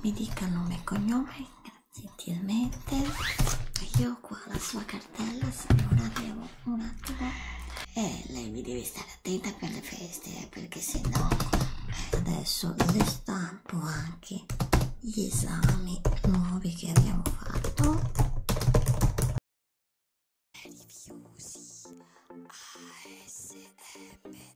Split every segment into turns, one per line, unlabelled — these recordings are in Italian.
mi dica nome e cognome gentilmente io qua la sua cartella se non avevo un attimo e lei mi deve stare attenta per le feste eh, perché se no eh, adesso le stampo anche gli esami nuovi che abbiamo fatto Rifiusi ASMR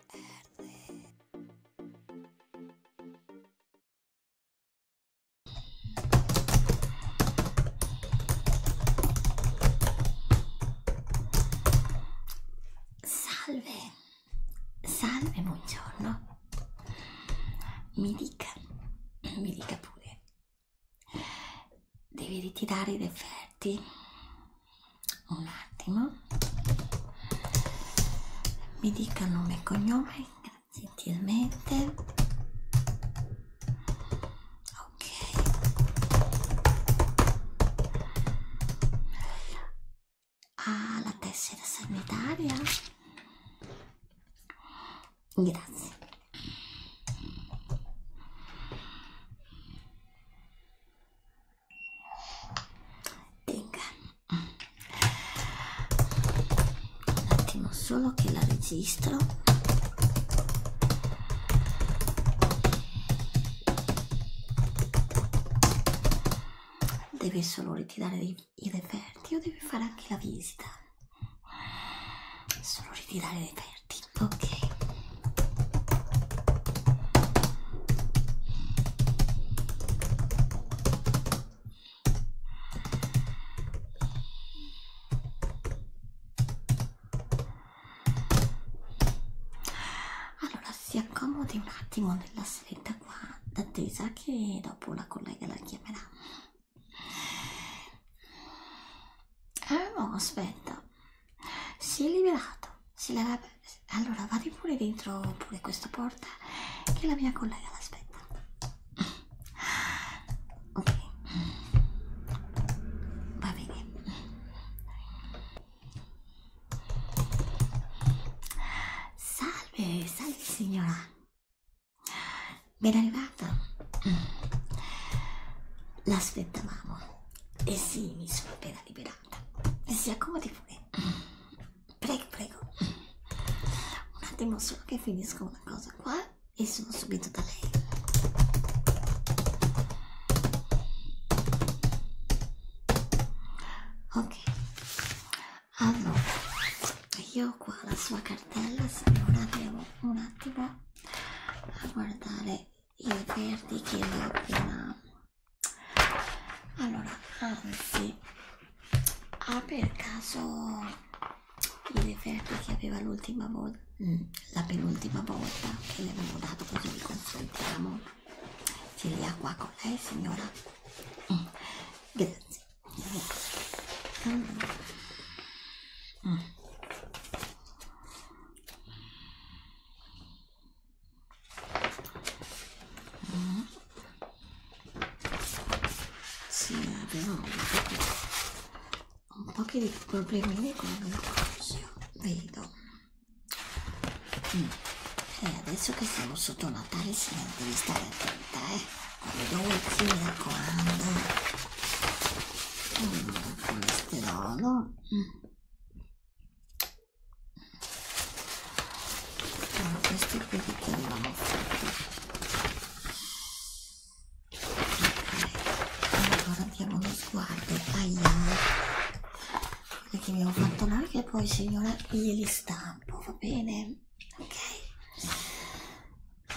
Salve, salve, buongiorno. Mi dica, mi dica pure, devi ritirare i referti? un attimo mi dica nome e cognome gentilmente ok ha ah, la tessera sanitaria grazie Tenga. Un attimo solo che la registro. Deve solo ritirare i reperti o deve fare anche la visita? Solo ritirare i reperti, ok. Allora si accomodi un attimo nella scritta qua d'attesa che dopo la collega la chiamerà. Ah no, aspetta, si è liberato, si leva allora vado pure dentro pure questa porta che la mia collega l'aspetta ok va bene salve salve signora ben arrivata l'aspettavamo e eh sì mi sono appena liberata eh si accomodi pure Prego, prego. Un attimo solo che finisco una cosa qua e sono subito da lei. Ok, allora io ho qua la sua cartella, se non avevo un attimo a guardare i verdi che ho appena allora anzi ha ah, per caso i referti che aveva l'ultima volta mm, la penultima volta che le avevo dato così li consultiamo ce li ha qua con lei signora mm, grazie allora. mm. Mm. Sì, avevo eh, un po', un po di problemini con il coso, vedo. Mm. E eh, adesso che siamo sotto Natale si devi stare attenta, eh. Quando dolci, mi raccomando. Mm, colesterolo. Mm allora, ah, questi qui che andavano fatti okay. allora diamo uno sguardo ai quelli che abbiamo fatto noi che poi signora glieli stampo va bene ok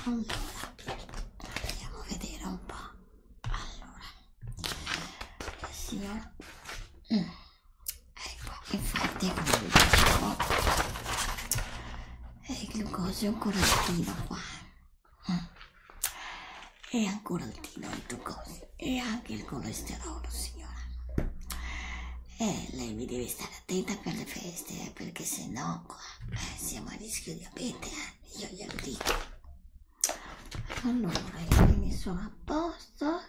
allora andiamo a vedere un po' allora signor mm. ecco infatti come ecco. vi dicevo il glucosio ancora altino qua mm. è ancora altino il glucosio e anche il colesterolo signora e lei mi deve stare attenta per le feste eh, perché se no qua eh, siamo a rischio di diabete eh? io glielo dico allora io mi messo a posto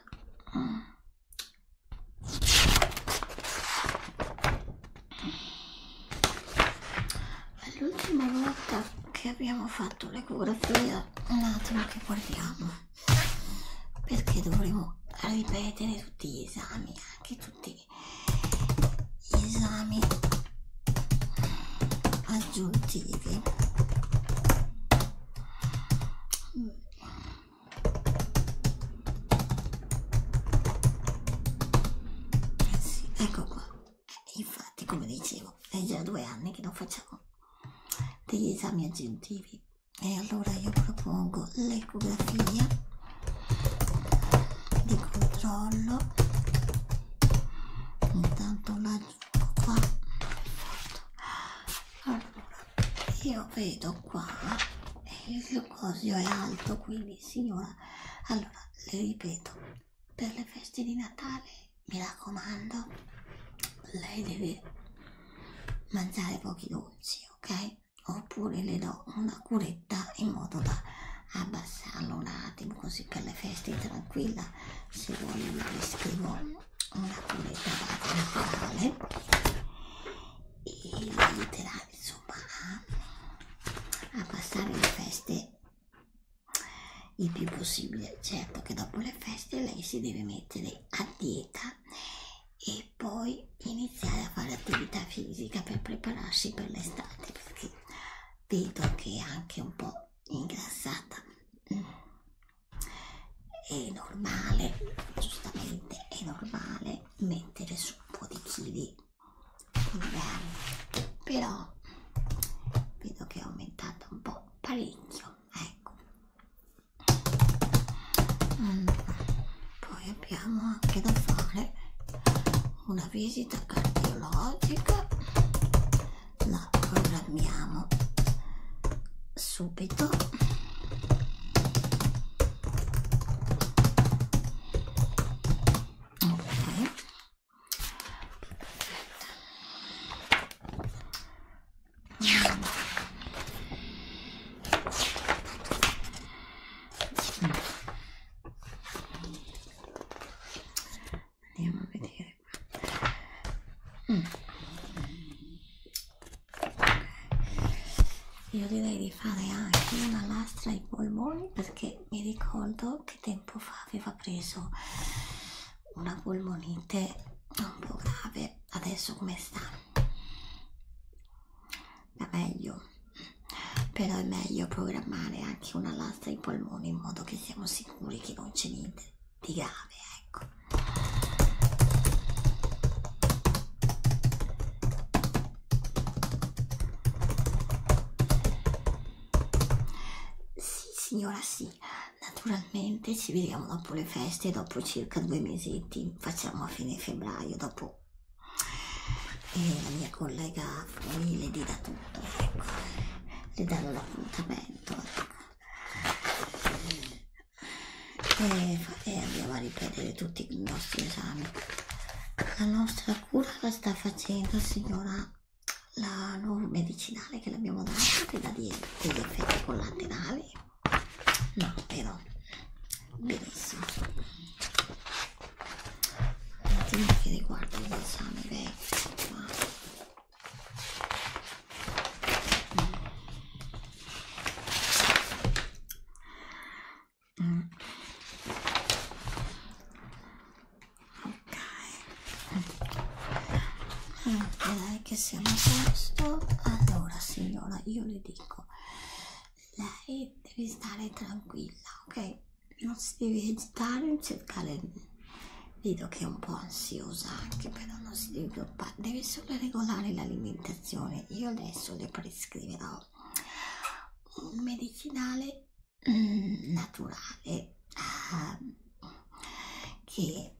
l'ultima volta che abbiamo fatto l'ecografia un attimo che guardiamo perché dovremo ripetere tutti gli esami anche tutti gli esami ad aggiuntivi eh sì, ecco qua eh, infatti come dicevo è già due anni che non facciamo degli esami aggiuntivi e allora io propongo l'ecografia di controllo intanto la ecco qua perfetto allora io vedo qua eh, il glucosio è alto quindi signora allora le ripeto per le feste di natale mi raccomando lei deve mangiare pochi dolci ok oppure le do una curetta in modo da abbassarlo un Latin così per le feste tranquilla se vogliono vi scrivo una cunetta naturale e vi aiuterà insomma a, a passare le feste il più possibile certo che dopo le feste lei si deve mettere a dieta e poi iniziare a fare attività fisica per prepararsi per l'estate perché vedo che è anche un po' ingrassata è normale giustamente è normale mettere su un po' di chili magari però vedo che è aumentata un po' parecchio ecco mm. poi abbiamo anche da fare una visita cardiologica la programmiamo subito okay andiamo a vedere qua mm. okay. io direi di fare anche una lastra ai polmoni perché mi ricordo che tempo fa aveva preso una polmonite un po' grave adesso come sta va meglio però è meglio programmare anche una pasta ai polmoni in modo che siamo sicuri che non c'è niente di grave, ecco. Sì, signora, sì. Naturalmente ci vediamo dopo le feste, dopo circa due mesetti, facciamo a fine febbraio, dopo e eh, la mia collega famiglia, gli dà tutto, ecco. le danno l'appuntamento. E, ecco. e eh, eh, andiamo a ripetere tutti i nostri esami. La nostra cura la sta facendo signora la nuova medicinale che l'abbiamo data che dà degli effetti collaterali. No, però benissimo. Un attimo che riguarda gli esami vecchi. Mm. Ok, mm. direi che siamo a posto. Allora, signora, io le dico, lei deve stare tranquilla, ok? non si deve agitare non cercare vedo che è un po' ansiosa anche però non si deve preoccupare deve solo regolare l'alimentazione io adesso le prescriverò un medicinale mm, naturale ehm, che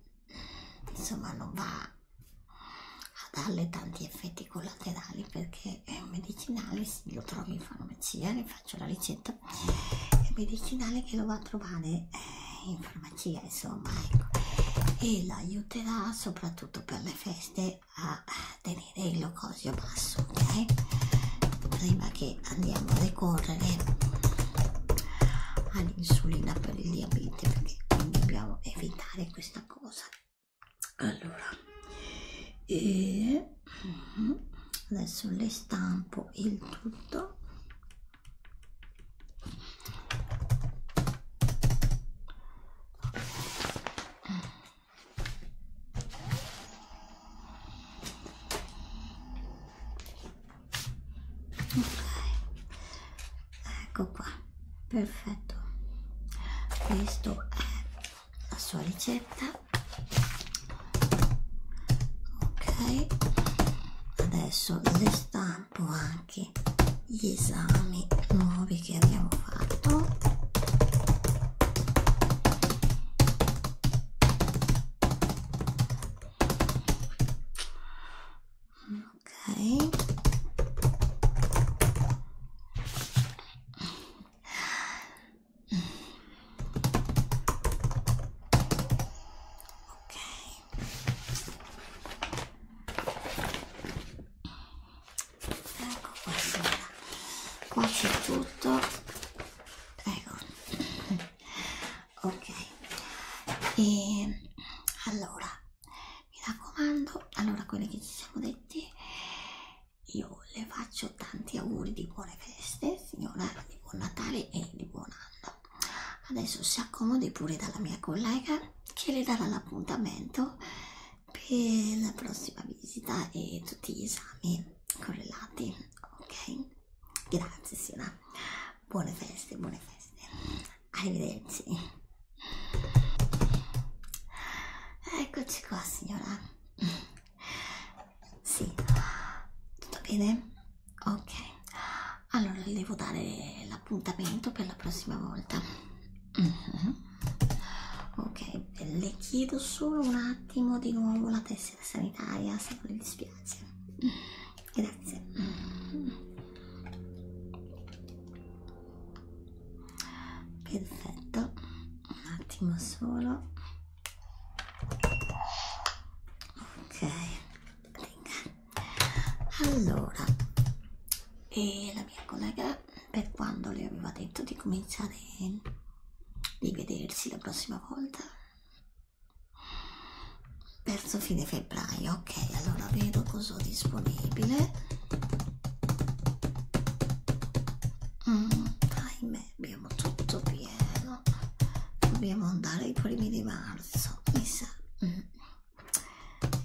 insomma non va a darle tanti effetti collaterali perché è un medicinale se lo trovi in farmacia ne faccio la ricetta fatto certo. il medicinale che lo va a trovare eh, in farmacia insomma ecco. e l'aiuterà soprattutto per le feste a tenere il glucosio basso ok prima che andiamo a ricorrere all'insulina per il diabete perché quindi dobbiamo evitare questa cosa allora e Mhm. adesso le stampo il tutto ok ecco qua perfetto questo è la sua ricetta ok adesso le stampo anche gli esami nuovi che abbiamo fatto ok ecco qua signora qua c'è tutto ecco ok e allora mi raccomando allora quelli che ci siamo detti io le faccio tanti auguri di buone feste, signora, di buon Natale e di buon anno. Adesso si accomodi pure dalla mia collega che le darà l'appuntamento per la prossima visita e tutti gli esami correlati, ok? Grazie signora, buone feste, buone feste, arrivederci. Eccoci qua signora. Sì, tutto bene? Ok, allora le devo dare l'appuntamento per la prossima volta. Mm -hmm. Ok, le chiedo solo un attimo di nuovo la tessera sanitaria se non le dispiace. Mm-hmm. Grazie. Mm -hmm. Perfetto, un attimo solo ok allora e la mia collega per quando le aveva detto di cominciare di vedersi la prossima volta verso fine febbraio ok allora vedo cosa ho disponibile mm, ahimè bene, abbiamo tutto pieno. Dobbiamo andare ai primi di marzo, mi sa. Mm.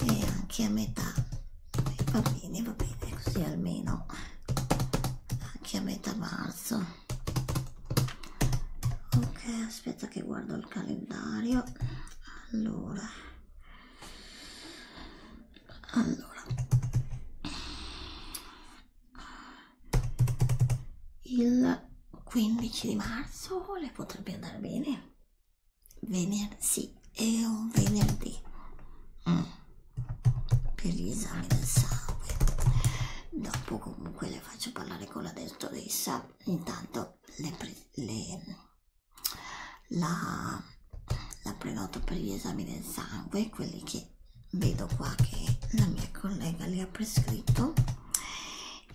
E anche a metà. Va bene, va bene, così almeno anche a metà marzo. Ok, aspetta che guardo il calendario. Allora. Allora il 15 di marzo le potrebbe andare bene venerdì sì, è un venerdì mm. per gli esami del sangue dopo comunque le faccio parlare con la dentrodessa intanto le, pre le la la prenoto per gli esami del sangue, quelli che vedo qua che la mia collega li ha prescritto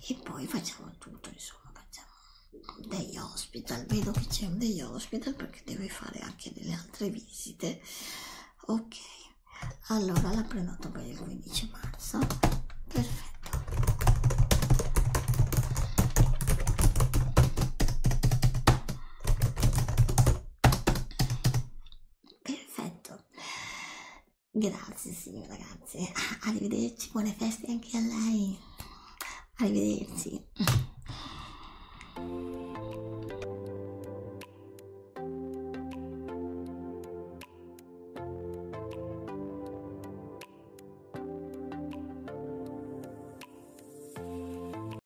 e poi facciamo tutto, insomma, facciamo degli hospital, vedo che c'è un degli hospital perché deve fare anche delle altre visite. Ok, allora la prenoto per il 15 marzo, perfetto. Perfetto. Grazie signora, grazie. Ah, arrivederci, buone feste anche a lei. Arrivederci.